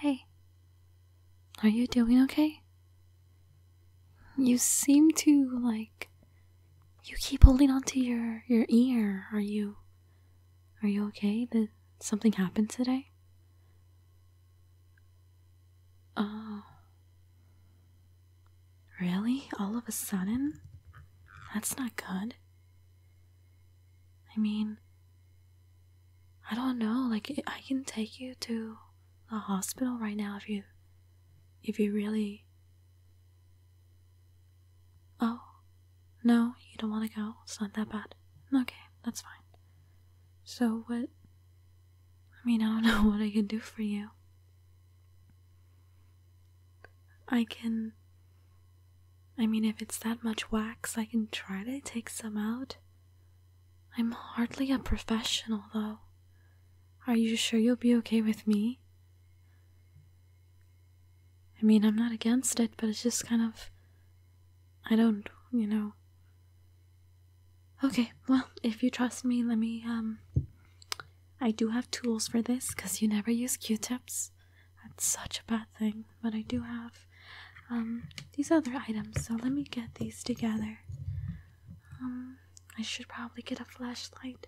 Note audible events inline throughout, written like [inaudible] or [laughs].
Hey, are you doing okay? You seem to like you keep holding on to your your ear. Are you are you okay? Did something happen today? Oh. Really? All of a sudden? That's not good. I mean, I don't know. Like, I can take you to the hospital right now if you, if you really. Oh, no, you don't want to go. It's not that bad. Okay, that's fine. So what? I mean, I don't [laughs] know what I can do for you. I can I mean, if it's that much wax, I can try to take some out. I'm hardly a professional, though. Are you sure you'll be okay with me? I mean, I'm not against it, but it's just kind of. I don't, you know. Okay, well, if you trust me, let me, um. I do have tools for this, because you never use q tips. That's such a bad thing, but I do have um, these other items, so let me get these together. Um, I should probably get a flashlight.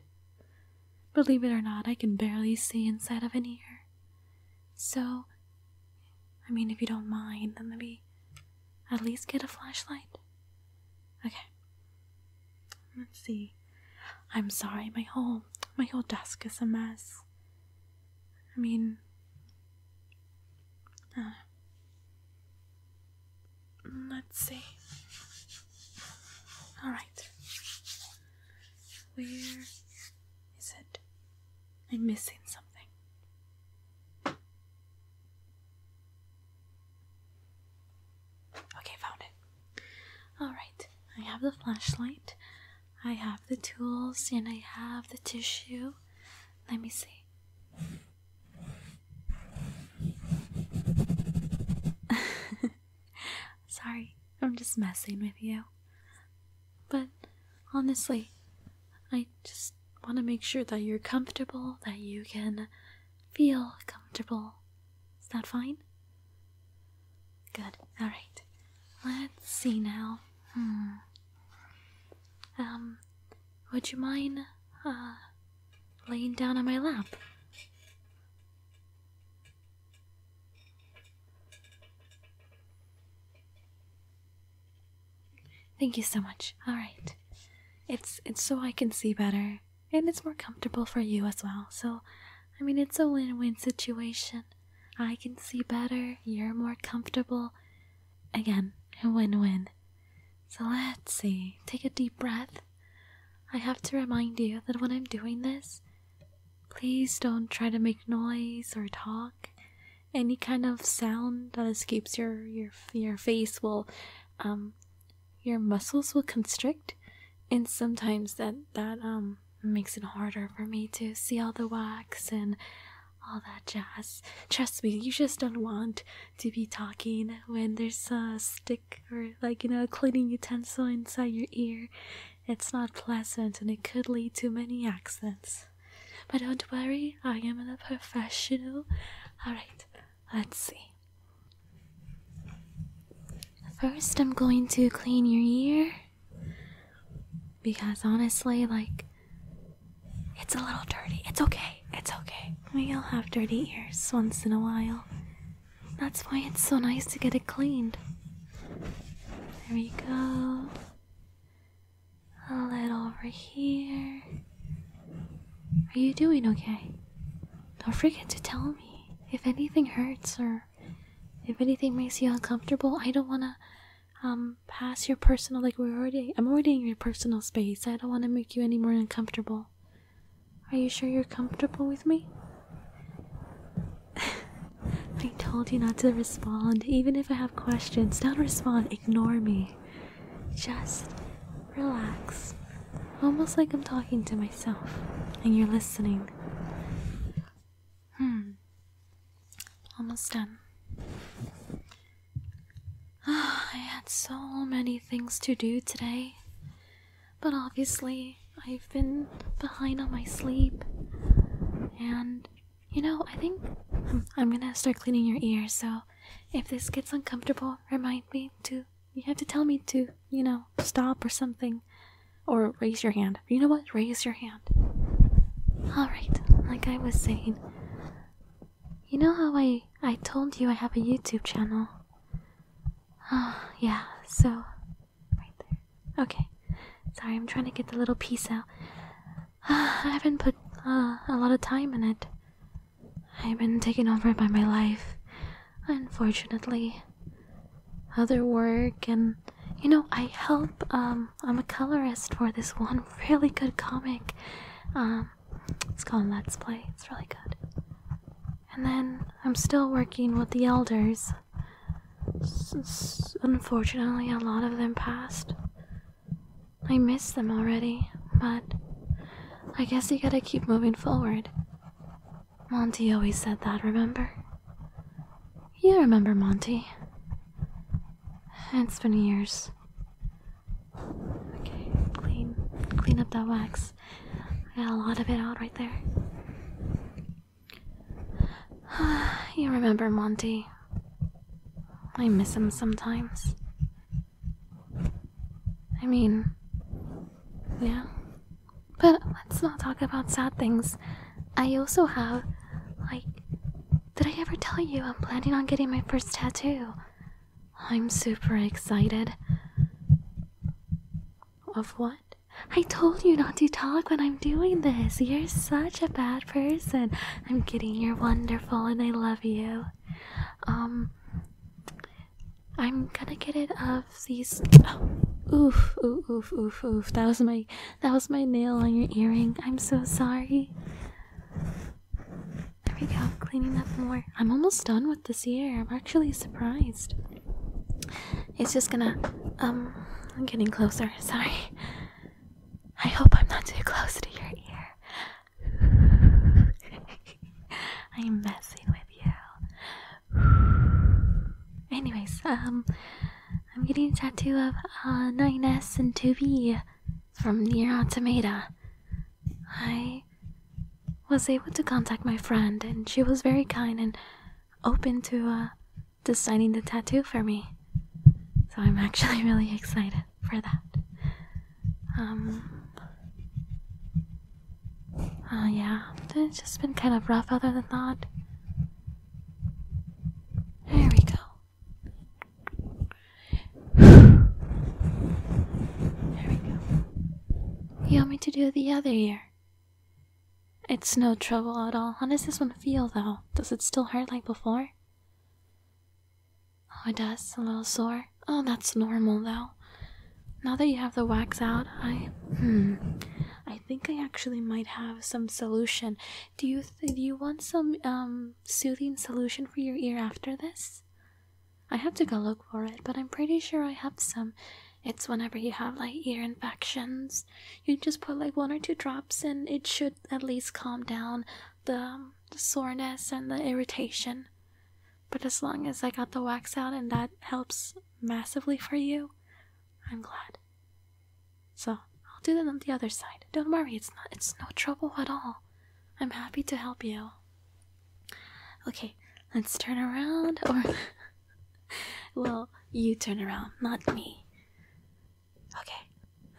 Believe it or not, I can barely see inside of an ear. So, I mean, if you don't mind, then maybe at least get a flashlight. Okay. Let's see. I'm sorry, my whole my whole desk is a mess. I mean, mm, let's see. Alright. Where is it? I'm missing something. Okay, found it. Alright, I have the flashlight. I have the tools and I have the tissue. Let me see. [laughs] Sorry, I'm just messing with you. But honestly, I just want to make sure that you're comfortable, that you can feel comfortable. Is that fine? Good. All right. Let's see now. Hmm. Um, would you mind uh laying down on my lap? Thank you so much. All right. It's it's so I can see better and it's more comfortable for you as well. So, I mean, it's a win-win situation. I can see better, you're more comfortable. Again, a win win. So let's see. Take a deep breath. I have to remind you that when I'm doing this, please don't try to make noise or talk. Any kind of sound that escapes your your your face will um your muscles will constrict and sometimes that that um makes it harder for me to see all the wax and all that jazz. Trust me, you just don't want to be talking when there's a stick or, like, you know, a cleaning utensil inside your ear. It's not pleasant and it could lead to many accidents. But don't worry, I am a professional. Alright, let's see. First, I'm going to clean your ear because honestly, like, it's a little dirty. It's okay. It's okay. We all have dirty ears once in a while. That's why it's so nice to get it cleaned. There you go. A little over here. Are you doing okay? Don't forget to tell me if anything hurts or if anything makes you uncomfortable. I don't want to um past your personal like we're already I'm already in your personal space. I don't want to make you any more uncomfortable. Are you sure you're comfortable with me? [laughs] I told you not to respond. Even if I have questions, don't respond. Ignore me. Just relax. Almost like I'm talking to myself and you're listening. Hmm. Almost done. Oh, I had so many things to do today, but obviously I've been behind on my sleep. And, you know, I think I'm gonna start cleaning your ears, so if this gets uncomfortable, remind me to. You have to tell me to, you know, stop or something. Or raise your hand. You know what? Raise your hand. Alright, like I was saying, you know how I, I told you I have a YouTube channel? Oh, yeah, so. Right there. Okay. Sorry, I'm trying to get the little piece out. Uh, I haven't put uh, a lot of time in it. I've been taken over by my life, unfortunately. Other work and you know, I help. Um, I'm a colorist for this one [laughs] really good comic. Um, it's called Let's Play. It's really good. And then I'm still working with the elders. unfortunately, a lot of them passed. I miss them already, but I guess you gotta keep moving forward. Monty always said that, remember? You remember Monty. It's been years. Okay, clean clean up that wax. I got a lot of it out right there. [sighs] you remember Monty. I miss him sometimes. I mean, yeah. But let's not talk about sad things. I also have, like, did I ever tell you I'm planning on getting my first tattoo? I'm super excited. Of what? I told you not to talk when I'm doing this. You're such a bad person. I'm kidding. You're wonderful and I love you. Um, I'm gonna get it of these. Oh, oof, oof, oof, oof, oof. That was my that was my nail on your earring. I'm so sorry. There we go, cleaning up more. I'm almost done with this ear. I'm actually surprised. It's just gonna, um, I'm getting closer. Sorry. I hope I'm not too close to your ear. [laughs] I'm messing with you. Anyways, um, I'm getting a tattoo of 9S uh, and 2B from Near Automata. I was able to contact my friend, and she was very kind and open to uh, designing the tattoo for me. So I'm actually [laughs] really excited for that. Um. Uh, yeah, it's just been kind of rough other than that. There we go. There we go. You want me to do the other ear? It's no trouble at all. How does this one feel though? Does it still hurt like before? Oh, it does. A little sore. Oh, that's normal though. Now that you have the wax out, I hmm, I think I actually might have some solution. Do you do you want some um soothing solution for your ear after this? I have to go look for it, but I'm pretty sure I have some. It's whenever you have like ear infections, you just put like one or two drops, and it should at least calm down the, um, the soreness and the irritation. But as long as I got the wax out and that helps massively for you, I'm glad. So I'll do that on the other side. Don't worry, it's not it's no trouble at all. I'm happy to help you. Okay, let's turn around or [laughs] well, you turn around, not me. Okay,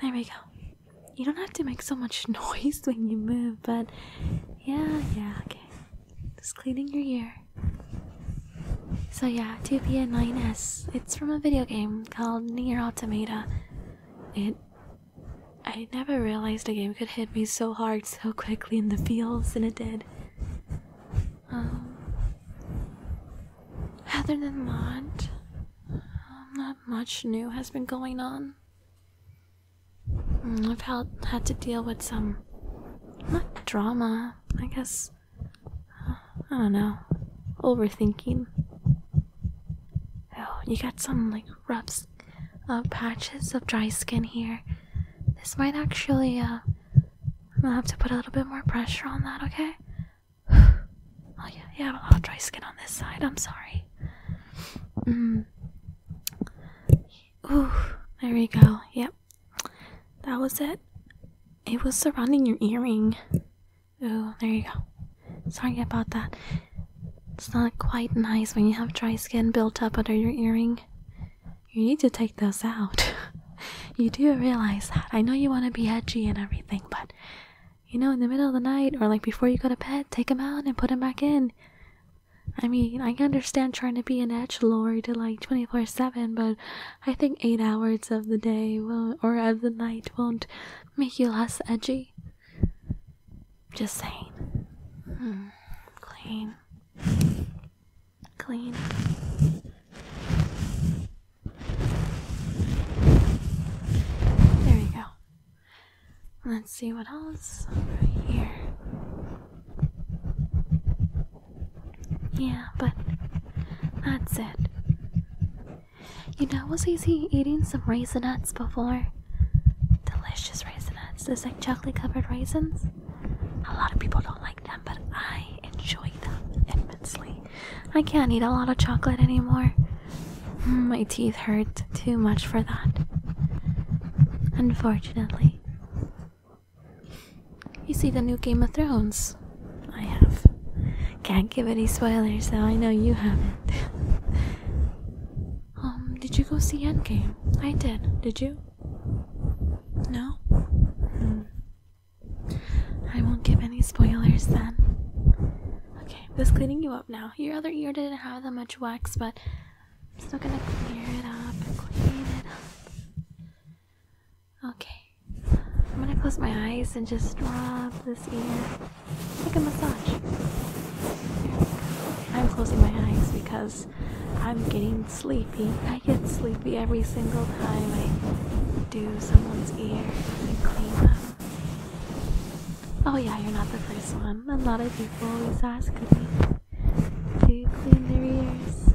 there we go. You don't have to make so much [laughs] noise when you move, but yeah, yeah, okay. Just cleaning your ear. So yeah, 2 p 9s It's from a video game called Near Automata. It I never realized a game could hit me so hard so quickly in the feels and it did. Um, other than that, um, not much new has been going on. Mm, I've had, had to deal with some not drama, I guess I don't know, overthinking. Oh, you got some like rubs, uh, patches of dry skin here. This might actually, uh, I'm gonna have to put a little bit more pressure on that, okay? [sighs] oh, yeah, yeah, I have a lot of dry skin on this side, I'm sorry. Mm. Ooh, there we go, yep. That was it. It was surrounding your earring. Oh, there you go. Sorry about that. It's not quite nice when you have dry skin built up under your earring. You need to take those out. [laughs] you do realize that. I know you want to be edgy and everything, but you know, in the middle of the night or like before you go to bed, take them out and put them back in. I mean, I understand trying to be an edge lord like 24 7, but I think eight hours of the day will, or of the night won't make you less edgy. Just saying. Hmm. Clean. Clean. There we go. Let's see what else right here. Yeah, but that's it. You know, I was easy eating some raisin nuts before. Delicious raisin nuts, It's like chocolate covered raisins. A lot of people don't like them, but I enjoy them immensely. I can't eat a lot of chocolate anymore. Mm, my teeth hurt too much for that. Unfortunately. You see the new Game of Thrones. I have. Can't give any spoilers, though. I know you haven't. um, did you go see Endgame? I did. Did you? No. Hmm. I won't give any spoilers then. Okay, this cleaning you up now. Your other ear didn't have that much wax, but I'm still gonna clear it up and clean it up. Okay. I'm gonna close my eyes and just rub this ear like a massage. I'm closing my eyes because I'm getting sleepy. I get sleepy every single time I do someone's ear Oh yeah, you're not the first one. A lot of people always ask me to clean their ears.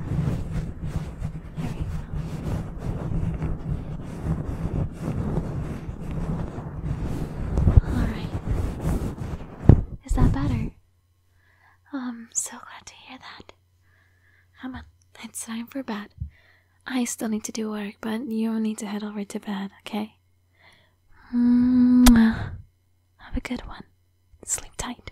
Alright. Is that better? I'm um, so glad to hear that. Emma, it's time for bed. I still need to do work, but you need to head over to bed, okay? Mwah. Have a good one. Sleep tight.